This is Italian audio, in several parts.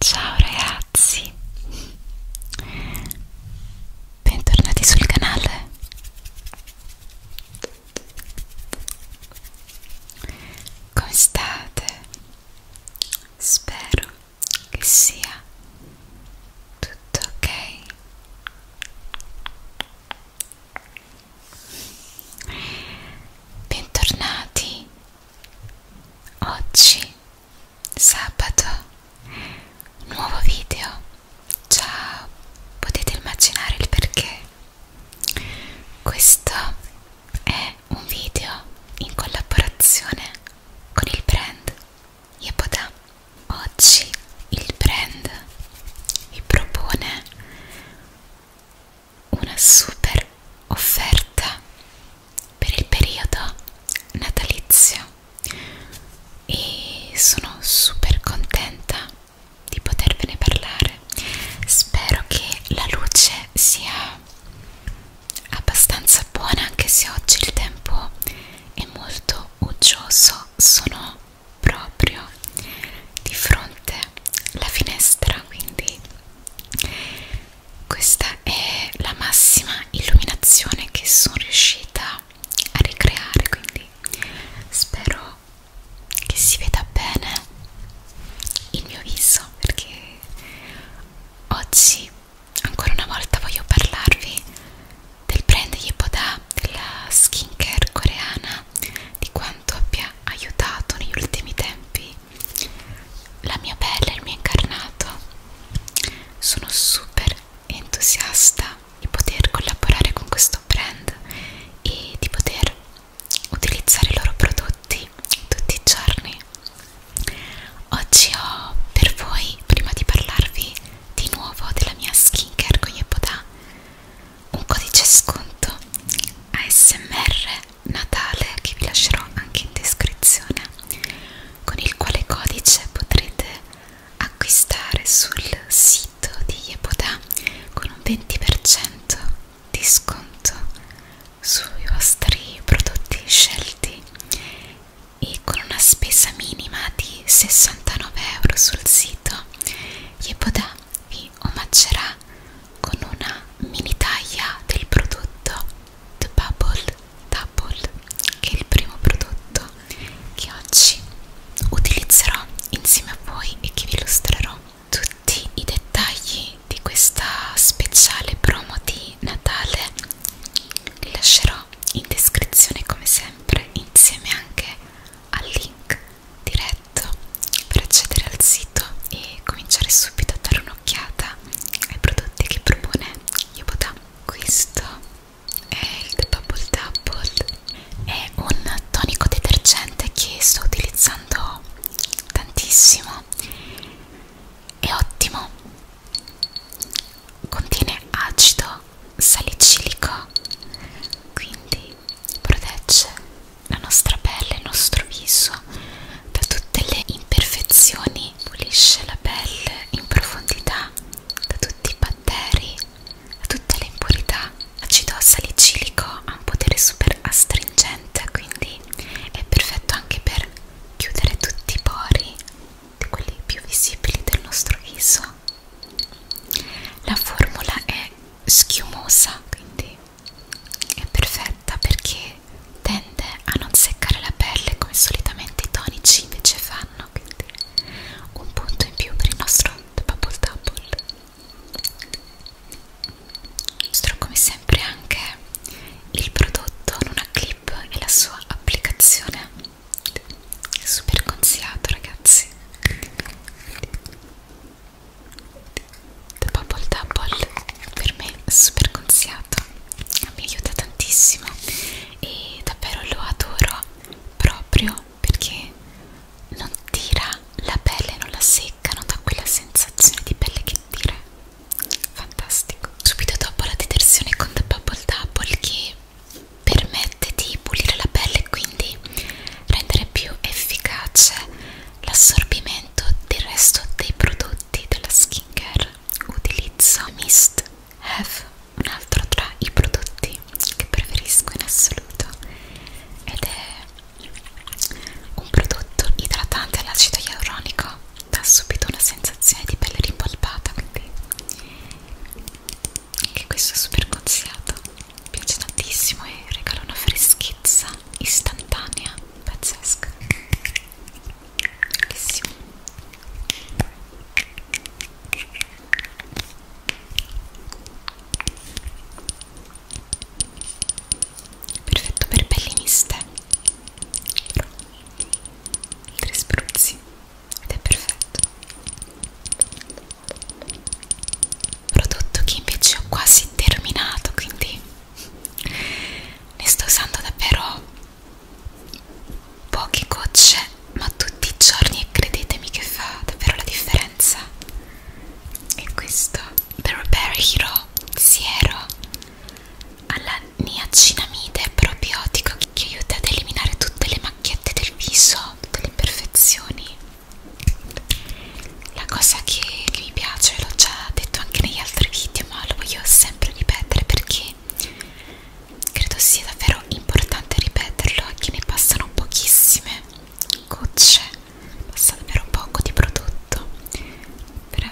Ciao ragazzi, bentornati sul canale. Come state? Spero che sia tutto ok. Bentornati. Oggi sabato un nuovo video. Ciao. Potete immaginare il perché. Questo è un video in collaborazione con il brand Yepoda. Oggi il brand vi propone una super offerta per il periodo natalizio e sono super contenta di potervene parlare spero che la luce sia abbastanza buona anche se oggi il tempo è molto uggioso sono proprio di fronte alla finestra quindi questa è la massima illuminazione che sono riuscita a ricreare quindi spero che si veda bene il mio viso perché oggi ancora una volta voglio parlarvi del brand Yepoda della skincare coreana di quanto abbia aiutato negli ultimi tempi la mia pelle e il mio incarnato. Sono super entusiasta di poter collaborare con questo brand e di poter utilizzare i loro prodotti tutti i giorni. Oggi ho per voi, prima di parlarvi di nuovo della mia skincare con Yepoda, un codice sconto ASMR Natale che vi lascerò anche in descrizione con il quale codice potrete acquistare sul sito di Yeboda con un 20% di sconto sui vostri prodotti scelti e con una spesa minima di 69 euro sul sito Yeboda vi li omaggerà con una mini taglia del prodotto The Bubble Double, che è il primo prodotto che oggi utilizzerò insieme a voi e che vi illustrerò tutti i dettagli di questa speciale promo di Natale li lascerò in descrizione come sempre insieme anche al link diretto per accedere al sito e cominciare subito a dare un'occhiata ai prodotti che propone Yoboda. Questo è il The Bubble Double, è un tonico detergente che sto utilizzando tantissimo, è ottimo, contiene acido salicilico quindi protegge la nostra pelle, il nostro viso da tutte le imperfezioni pulisce la pelle in profondità da tutti i batteri da tutte le impurità l'acido salicilico ha un potere super astringente quindi è perfetto anche per chiudere tutti i pori quelli più visibili del nostro viso la formula è schiumosa, quindi è perfetta perché tende a non seccare la pelle come solitamente i tonici invece fanno, quindi un punto in più per il nostro Bubble Double. Mostro come sempre anche il prodotto in una clip e la sua applicazione è super consigliato ragazzi The Bubble Double per me è super consigliato mi aiuta tantissimo e davvero lo adoro proprio perché non tira la pelle, non la secca, non dà quella sensazione di pelle che tira fantastico subito dopo la detersione con The Bubble Double che permette di pulire la pelle e quindi rendere più efficace l'assorbimento del resto dei prodotti della skincare. Utilizzo Mist Have, un altro tra i prodotti che preferisco in assoluto ed è un prodotto idratante all'acido ialuronico, dà subito una sensazione di pelle rimpolpata, quindi anche questo è super consigliato mi piace tantissimo e regala una freschezza istantanea pazzesca bellissimo perfetto per pelli miste tre spruzzi ed è perfetto prodotto che invece ho quasi terminato quindi ne sto usando davvero poche gocce ma tutti i giorni e credetemi che fa davvero la differenza e questo The Repair Hero Siero alla niacinamide è probiotico che aiuta ad eliminare tutte le macchiette del viso, tutte le imperfezioni. La cosa che, che mi piace, l'ho già detto anche negli altri video, ma lo voglio sempre ripetere perché credo sia davvero importante ripeterlo a chi ne passano pochissime gocce, passa davvero poco di prodotto per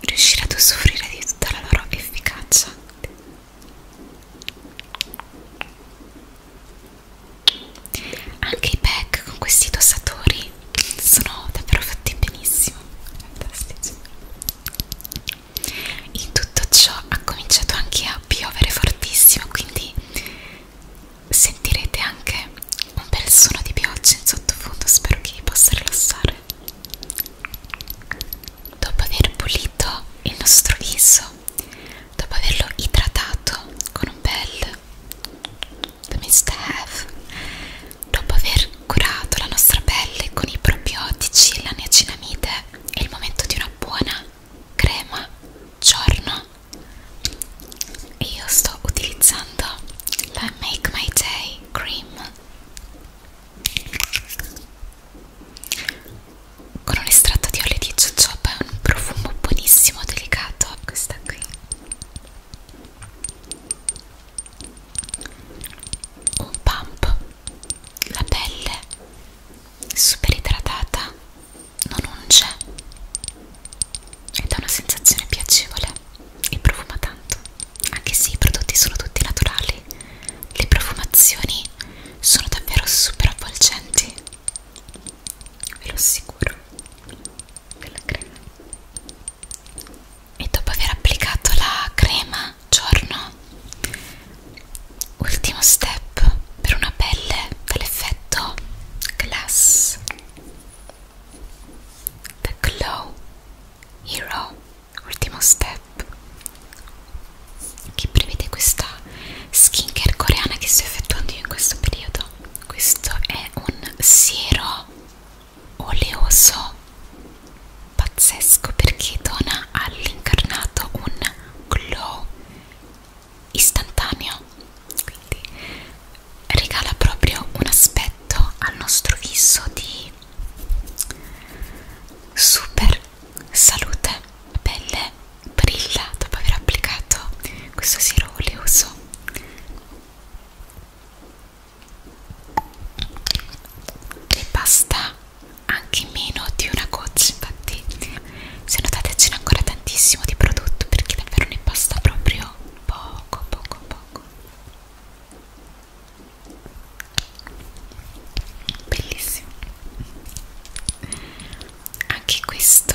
riuscire ad usufruire di tutta la loro efficacia anche i pack con questi dossatori sono davvero fatti benissimo fantastici in tutto ciò ha cominciato anche a piovere fortissimo quindi sentirete anche un bel suono di pioggia in sottofondo spero che vi possa rilassare Dopo aver pulito il nostro viso, dopo averlo idratato con un bel The Mist Have, dopo aver curato la nostra pelle con i probiotici, la niacinamide, è il momento di una buona crema giorno. E io sto utilizzando la Make My Day Cream con un estratto di olio di jojoba è un profumo buonissimo, delicato questa qui un pump la pelle super idratata non unge e dà una sensazione piacevole e profuma tanto anche se i prodotti sono tutti naturali, le profumazioni sono davvero super avvolgenti. Ve lo assicuro. Della crema. E dopo aver applicato la crema giorno, ultimo step per una pelle dall'effetto glass. The Glow Hero ultimo step che prevede questa skincare coreana che sto effettuando io in questo periodo questo è un siero oleoso pazzesco perché dona all'incarnato un glow istantaneo quindi regala proprio un aspetto al nostro viso di super salute, pelle brilla dopo aver applicato questo siero oleoso e basta anche meno di una goccia infatti se notate ce n'è ancora tantissimo di prodotto perché davvero ne basta proprio poco poco poco bellissimo anche questo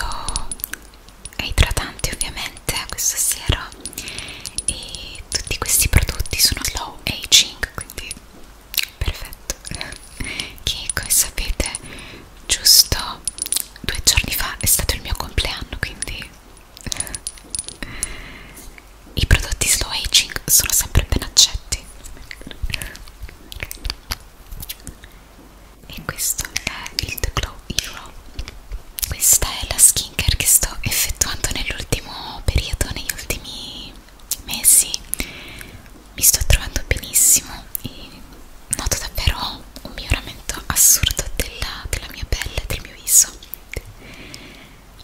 è idratante ovviamente eh, questo siero e tutti questi prodotti sono slow aging quindi perfetto che come sapete giusto due giorni fa è stato il mio compleanno quindi i prodotti slow aging sono sempre ben accetti. E questo è il The Glow Hero. Questa è la skincare che sto effettuando nell'ultimo periodo, negli ultimi mesi. Mi sto trovando benissimo e noto davvero un miglioramento assurdo della, della mia pelle, del mio viso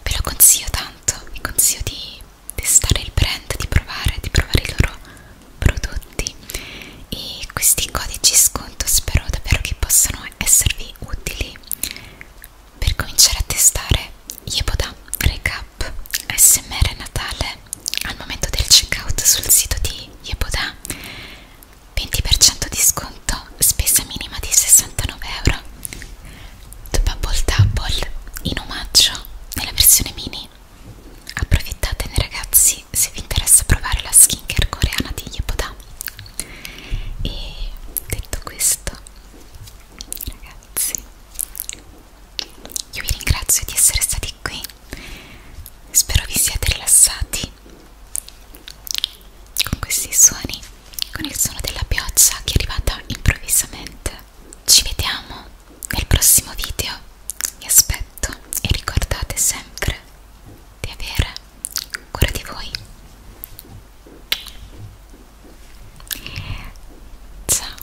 ve lo consiglio tanto, vi consiglio di testare il brand, di provare, di provare i loro prodotti e questi codici sconto spero davvero che possano esservi utili per cominciare a testare Yeboda Recap ASMR Natale al momento del checkout sul sito di Yeboda 20% di sconto, spesa minima di 69 euro. The Bubble Double in omaggio nella versione mini. Approfittatene ragazzi se vi interessa provare la skincare coreana di Yepoda. E detto questo, ragazzi, io vi ringrazio di essere stati qui. Spero vi siate rilassati con questi suoni, con il suono della pioggia che è arrivata improvvisamente. Ci vediamo nel prossimo video, vi aspetto e ricordate sempre di avere cura di voi. Ciao.